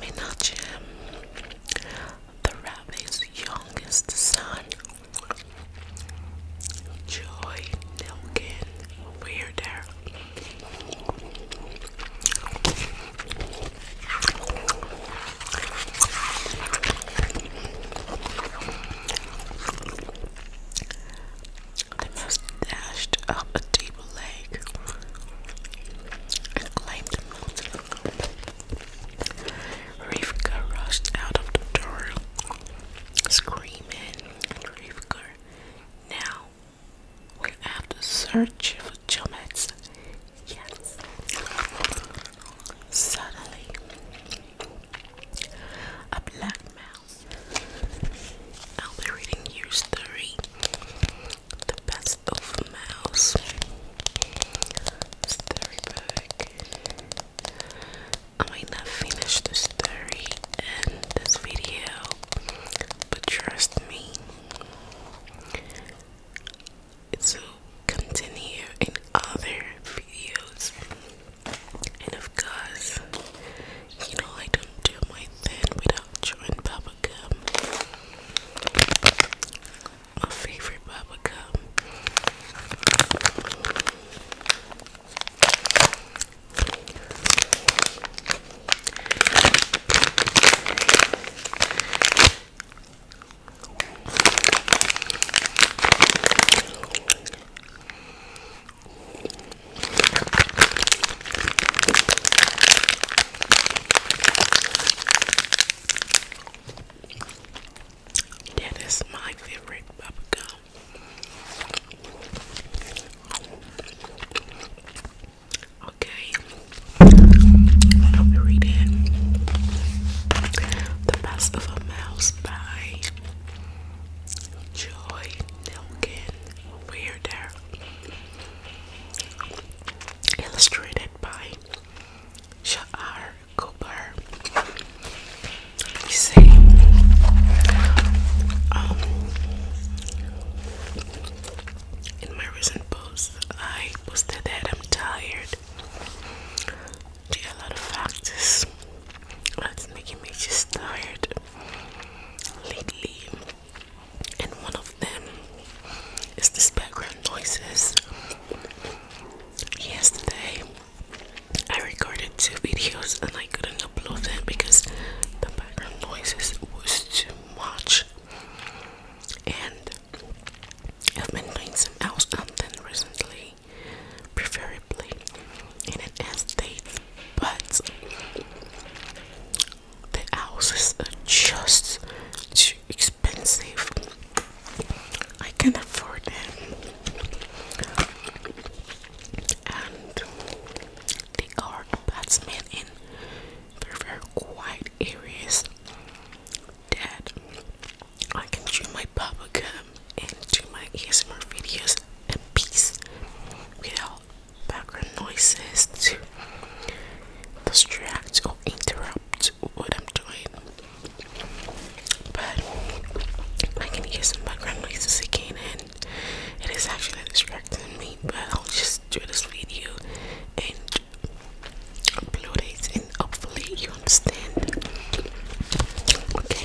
Menachem, the rabbi's youngest son, Joy Milken, weirder. The most dashed up a deep lake and climbed the mountain. Rivka rushed out of the door, screaming, and now we have to search for Jomets. Yes. Suddenly, a black mouse. I'll be reading your story the best of mouse. Story I might not finish the story in this video, but trust me, it will continue in other videos. And of course, you know I don't do my thing without chewing bubble my favorite bubble gum. That is my favorite bubblegum. Okay, let me read it. The Best of a Mouse by Joy Nelkin. Weirder illustrated by Sha'ar Cooper. see, um, in my recent post, I posted that I'm tired. a lot of factors that's making me just tired lately and one of them is this background noises. Yesterday, I recorded two videos and I couldn't upload them because the background noises was too much. And I've been doing some else content recently, preferably in an estate, but the houses are just too expensive. I can not afford them, and they are apartment in very, quiet areas that I can chew my bubblegum and do my ASMR videos peace without background noises to distract or interrupt what I'm doing. But I can hear some background noises again, and it is actually distracting me. But I'll just do this video and upload it, and hopefully, you understand. Okay.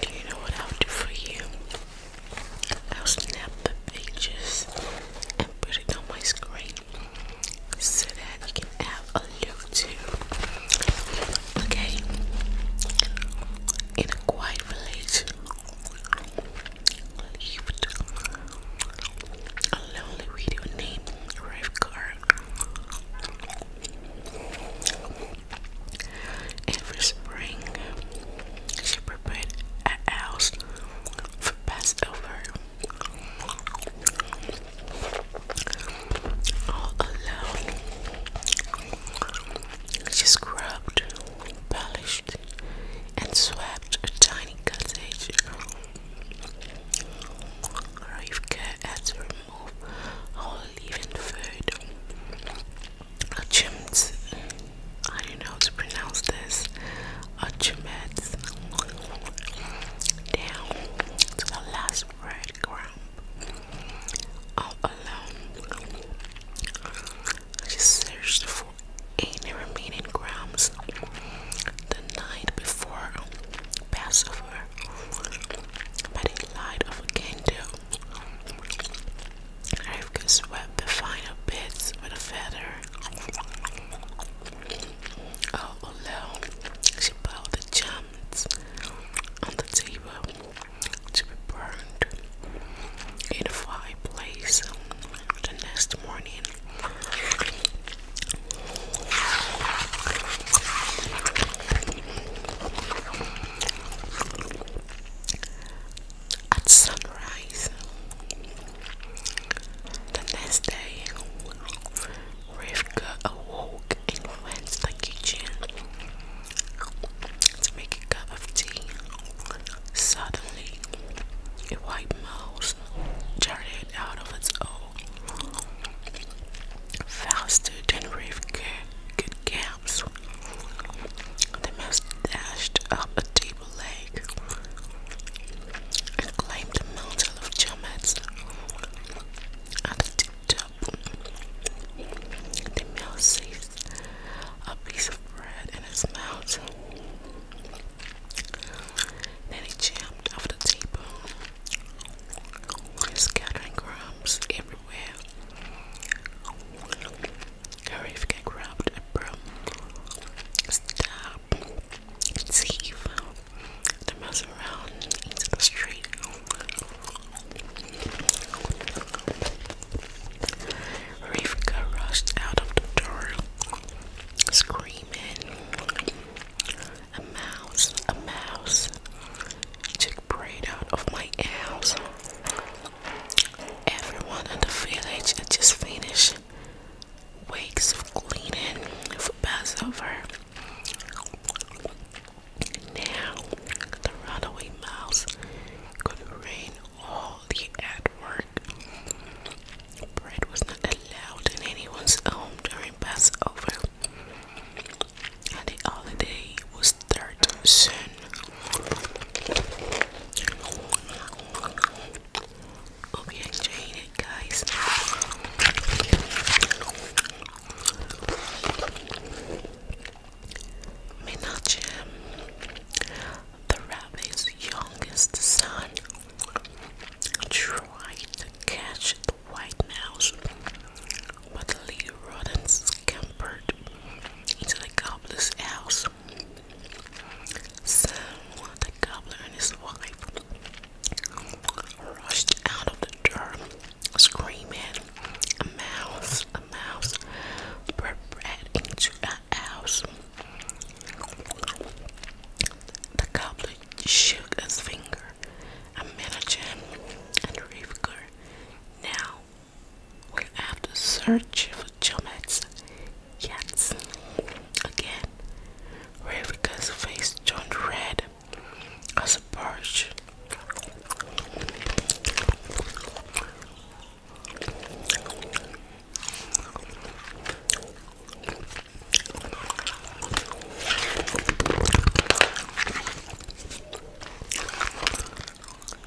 do you know what I'll do for you? I'll snap the pages and put it on my screen so that you can have a look too. Okay, in a quiet village, lived a lonely widow named Rivkar. Every spring, she prepared a house for Passover. All alone, she scrubbed, polished, and swept a tiny cottage. Rivka had to remove all living food. Achimt, I don't know how to pronounce this. Achimet. Down to the last red All alone, she searched for any remaining crumbs. The night before, Passover, but he of a candle. Rivka swept the final bits with a feather. All alone, she piled the gems on the table to be burned in the fireplace the next morning at sunrise. The next day, Rivka awoke and went to the kitchen to make a cup of tea. Suddenly, a white mouse darted out of its hole faster than Rivka could gaps. The mouse dashed up a table leg and claimed a mountain of chammets at the tip top. The mouse seized a piece of bread in its mouth. Then he jumped off the table, scattering crumbs everywhere where Harif get grabbed and bro stab thief to mess around into the street. Rivka rushed out of the door, screaming, A mouse, a mouse, took bread out of my house. Everyone in the village had just finished weeks of cleaning for Passover. Now the runaway mouse could rain all the at work. Bread was not allowed in anyone's home during Passover the holiday was third soon. Hope you guys. Menachem, the rabbi's youngest son, tried to catch the white mouse Motherly rodents scampered into the gobbler's house. Sam, the gobbler, and his wife rushed out of the door, screaming, "A mouse! A mouse! Bred into a house!" The gobbler shook his finger. A manager and Rivka now we have to search for Chomets. Yes. Again, Ravika's face turned red as a birch.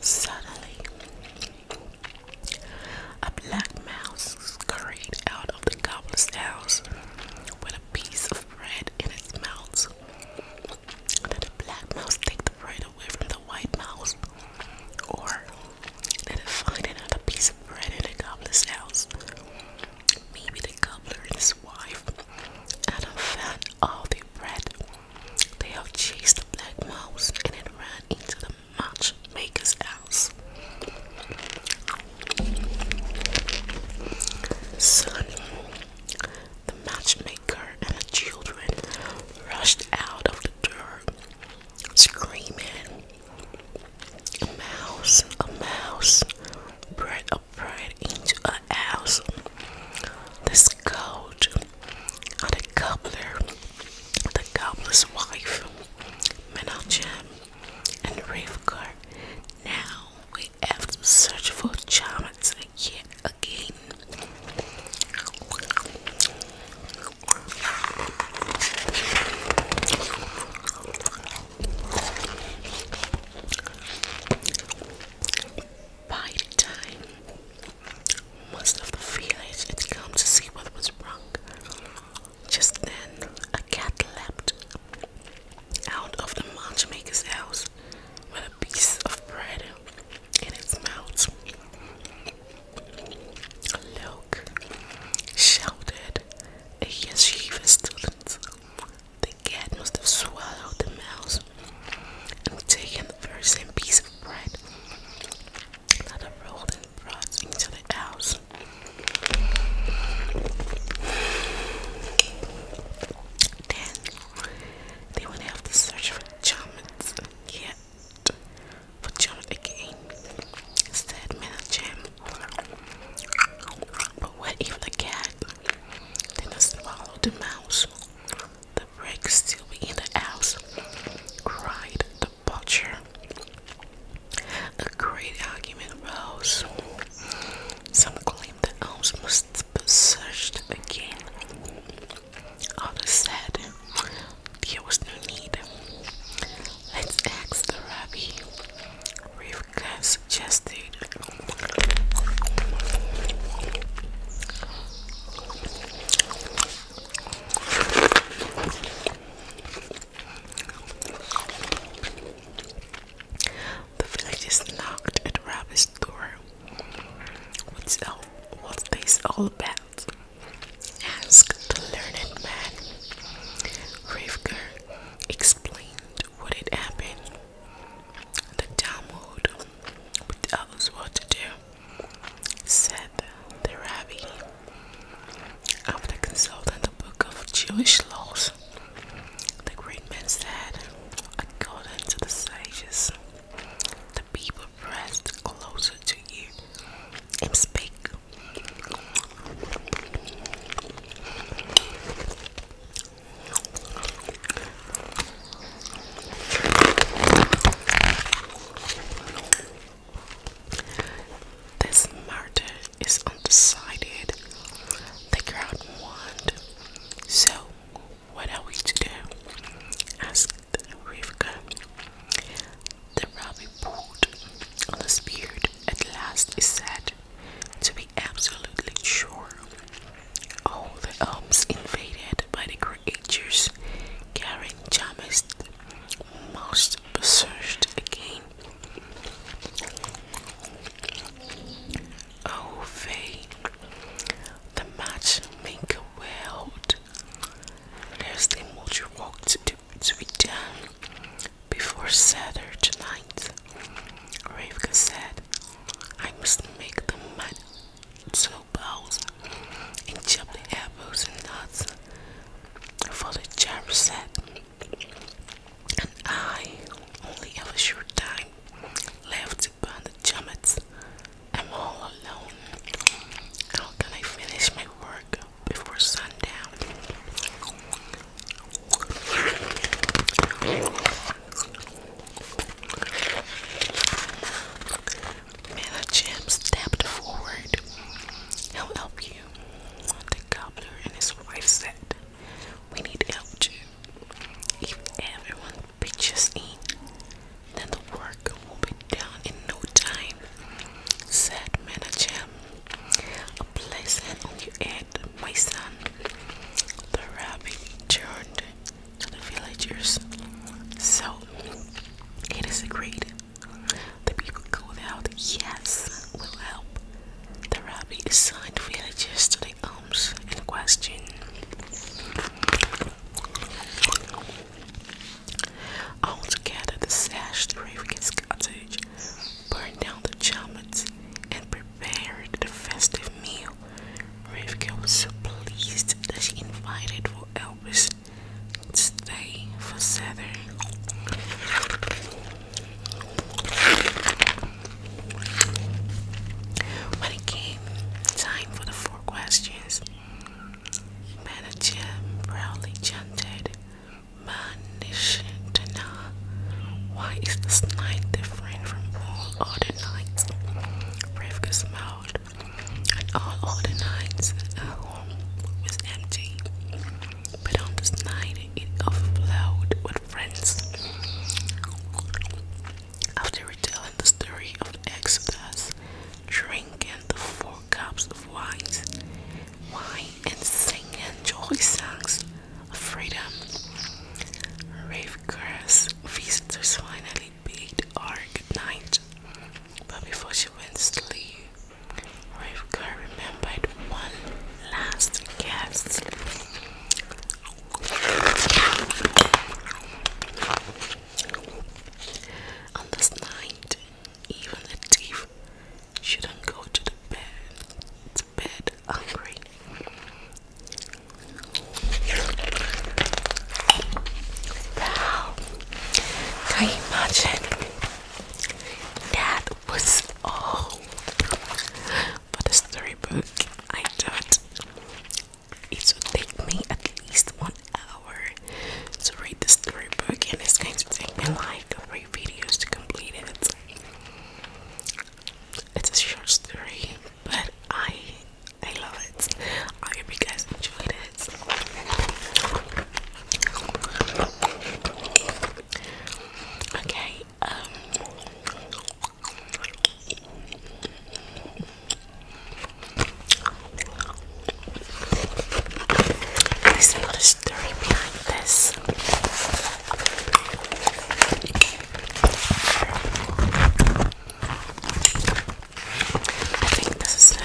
Suddenly, a black mouse scurried out of the goblin's house with a piece of bread in its mouth. Did the black mouse take the bread away from the white mouse? Or did it find another piece of bread in the goblin's house? Maybe the cobbler and his wife had a fan all bread. They all chased the black mouse and it ran into the matchmaker's house. Soon, the matchmaker and the children rushed out of the door, screaming, mouse, a mouse, bread a into a house. This goat, uh, the cobbler, the gobbler's wife, Menachem, and Ravka. Now we have to search for Chamat yet again. By the time most of the village had come to see what was wrong, just then a cat leapt out of the matchmaker's house with a piece of bread in its mouth. Look, shouted a yeshiva student the cat must have swallowed the mouse and taking the very same piece of bread that had rolled and brought into the house. Then they would have to search for Chummets and for Chummet again. Instead, Manager. But what if the cat then I swallowed the mouse. The brick still in the house, cried the butcher. A great argument rose. Some claimed the house must be searched again. Others said there was no need. Let's ask the rabbi. Reef got suggested. The villagers knocked at Rabbit's door. What's all, what's this all about? asked the learned man. Rivka explained what it happen? The town would tell us what to do, said the Rabbi. After consulting the book of Jewish laws, the great man said, according to the sages, the people pressed closer to you and spake. This murder is undecided. The crowd won. So, what are we to do? asked Rivka. The rabbi pulled on the beard. At last, he said, To be absolutely sure all the elves invaded by the creatures carrying Jamis must be searched again. Oh, Faye, the matchmaker world. There's the much work to, do, to be done before Saturday night. Rivka said, I must make the mud soup bowls and chopped apples and nuts for the jar set. And I only have a short time left to burn the chammets. I'm all alone. How can I finish my work before sundown? Mailchimp stepped forward. He'll help you. The gobbler and his wife said, We need help too. If everyone pitches in, then the work will be done in no time, said Mailchimp. A place hand on your head my son. The rabbi turned to the villagers. So it is agreed. The people called out, Yes, we'll help. The rabbit assigned villagers to the homes in question. together, the sash to Raven's cottage, burn down the chamet, and prepared very festive meal. Rivka was so pleased that she invited for Elvis to stay for Saturday. When it came time for the four questions, Manager proudly chanted, Manish Tana. Why is this night different from all other nights? Rivka smiled. And all other nights, our home was empty. But on this night, it overflowed with friends. After retelling the story of the Exodus, drinking the four cups of wine, wine and singing joy songs of freedom, Rafe Figura's visitors finally bid her good night, but before she went to sleep, Rivka remembered one last guest. On this night, even a thief shouldn't go to the bed, to bed hungry. Wow. Can you imagine? That was all for the storybook. I thought it would take me at least one hour to read the storybook, and it's going to take me like three videos to complete it. It's a short story, but I I love it. I hope you guys enjoyed it. Okay, um there's a story behind this. I think this is the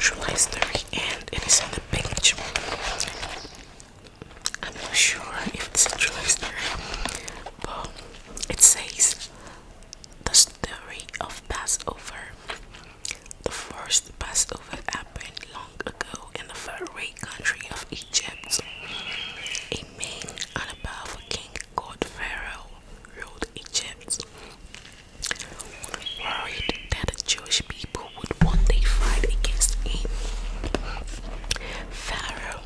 July story and it is on the page. I'm not sure if it's a July story, but it says the story of Passover. The first Passover happened long ago in the faraway country of Egypt. A king and a powerful king called Pharaoh ruled Egypt. Worried that the Jewish people would one day fight against him, Pharaoh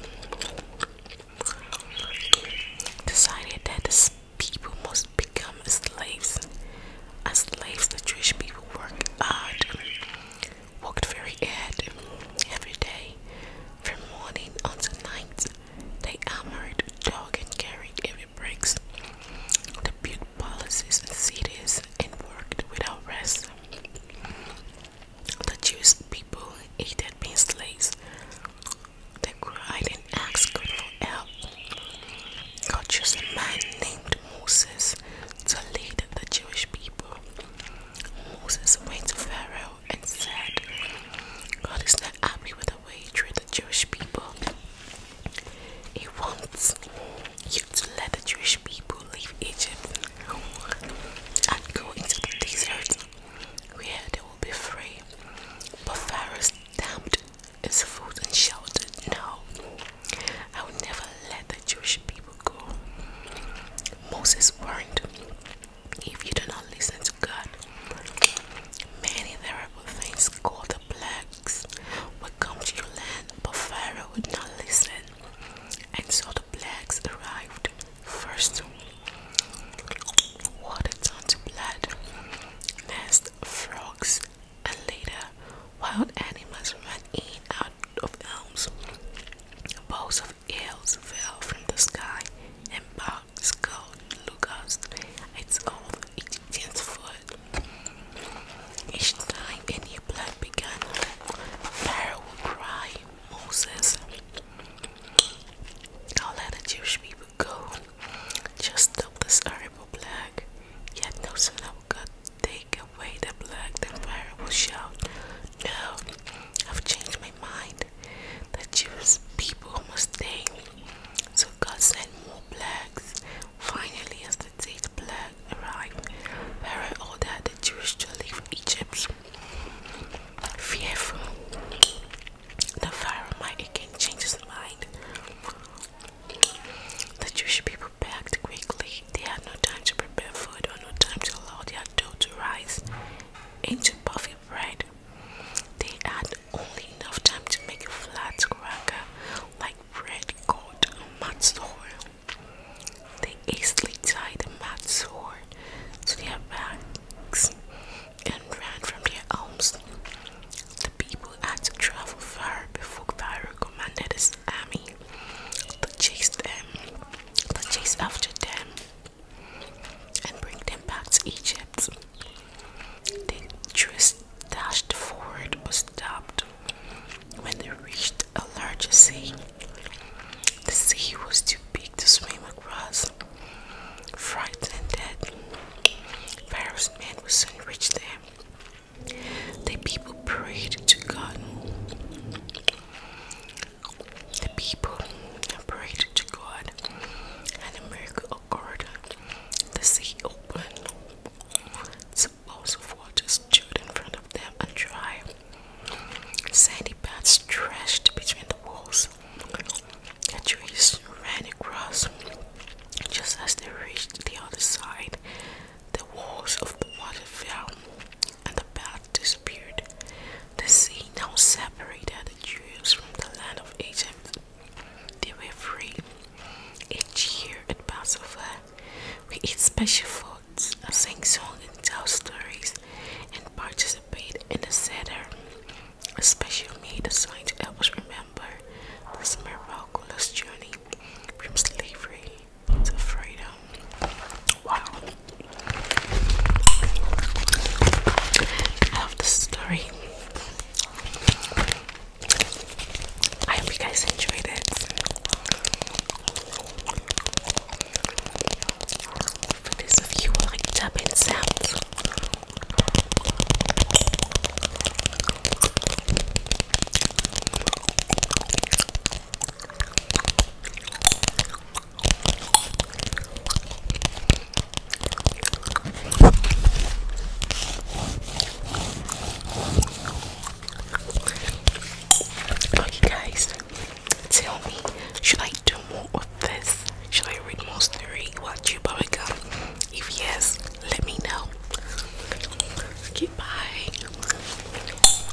decided that the people must become slaves. As slaves, the Jewish people worked hard worked very hard every day, from morning until night. They armored, dug, and carried Every breaks, They built palaces and cities and worked without rest. The Jewish people hated being slaves. They cried and asked God for help. God chose a man named Moses to lead the Jewish people. Moses went to Pharaoh and said, God is not happy with the way you treat the Jewish people. He wants you to let the Jewish people leave Egypt and go into the desert where they will be free. But Pharaoh stamped his foot and shouted, No, I will never let the Jewish people people go. Moses warned, if you do not listen to God, many terrible things called the Blacks would come to your land, but Pharaoh would not listen. And so the Blacks arrived. First, water turned to blood, next, frogs, and later, wild animals ran in out of elms. Boughs of Eels fell from the sky and bogged skull Lucas, its own Egyptian's foot. Each time any blood began, Pharaoh would Moses, don't let the Jewish people go. Just stop this horrible plague. Yet no sooner God take way the black fire will shout, No, I've changed my mind. The Jewish people must stay. So God sent more blacks. Finally, as the date black arrived, Pharaoh ordered the Jews to leave Egypt. Fearful the fire might again change his mind. The Jewish people packed quickly they had no time to prepare food or no time to allow their dough to rise into puffy bread. They had only enough time to make a flat cracker like bread called a matzor. They hastily tied the matzor to their backs and ran from their homes. The people had to travel far before Pharaoh commanded his army um, to chase them, to chase after them, and bring them back to Egypt. The Jews dashed forward but stopped when they reached a larger sea. The sea was too big to swim across. Frightened that Pharaoh's men would soon reach them, the people prayed to God the people prayed to God, and a miracle occurred. The sea opened, suppose of water stood in front of them and dry. Sandy paths stretched between the walls. The trees ran across. Just as they reached the other side, the walls of the water fell and the path disappeared. The sea now separated the Jews from the land of Egypt. They were free. Each year at Passover, we eat special foods, sing songs, and tell stories, and participate in the Seder, a special meal designed to help us remember this miraculous journey from slavery to freedom. Wow. I love this story. I hope you guys enjoyed it. For you like tapping sounds, Okay, guys, tell me, should I do more of this? Should I read more story? Watch you probably come? If yes, let me know. Okay,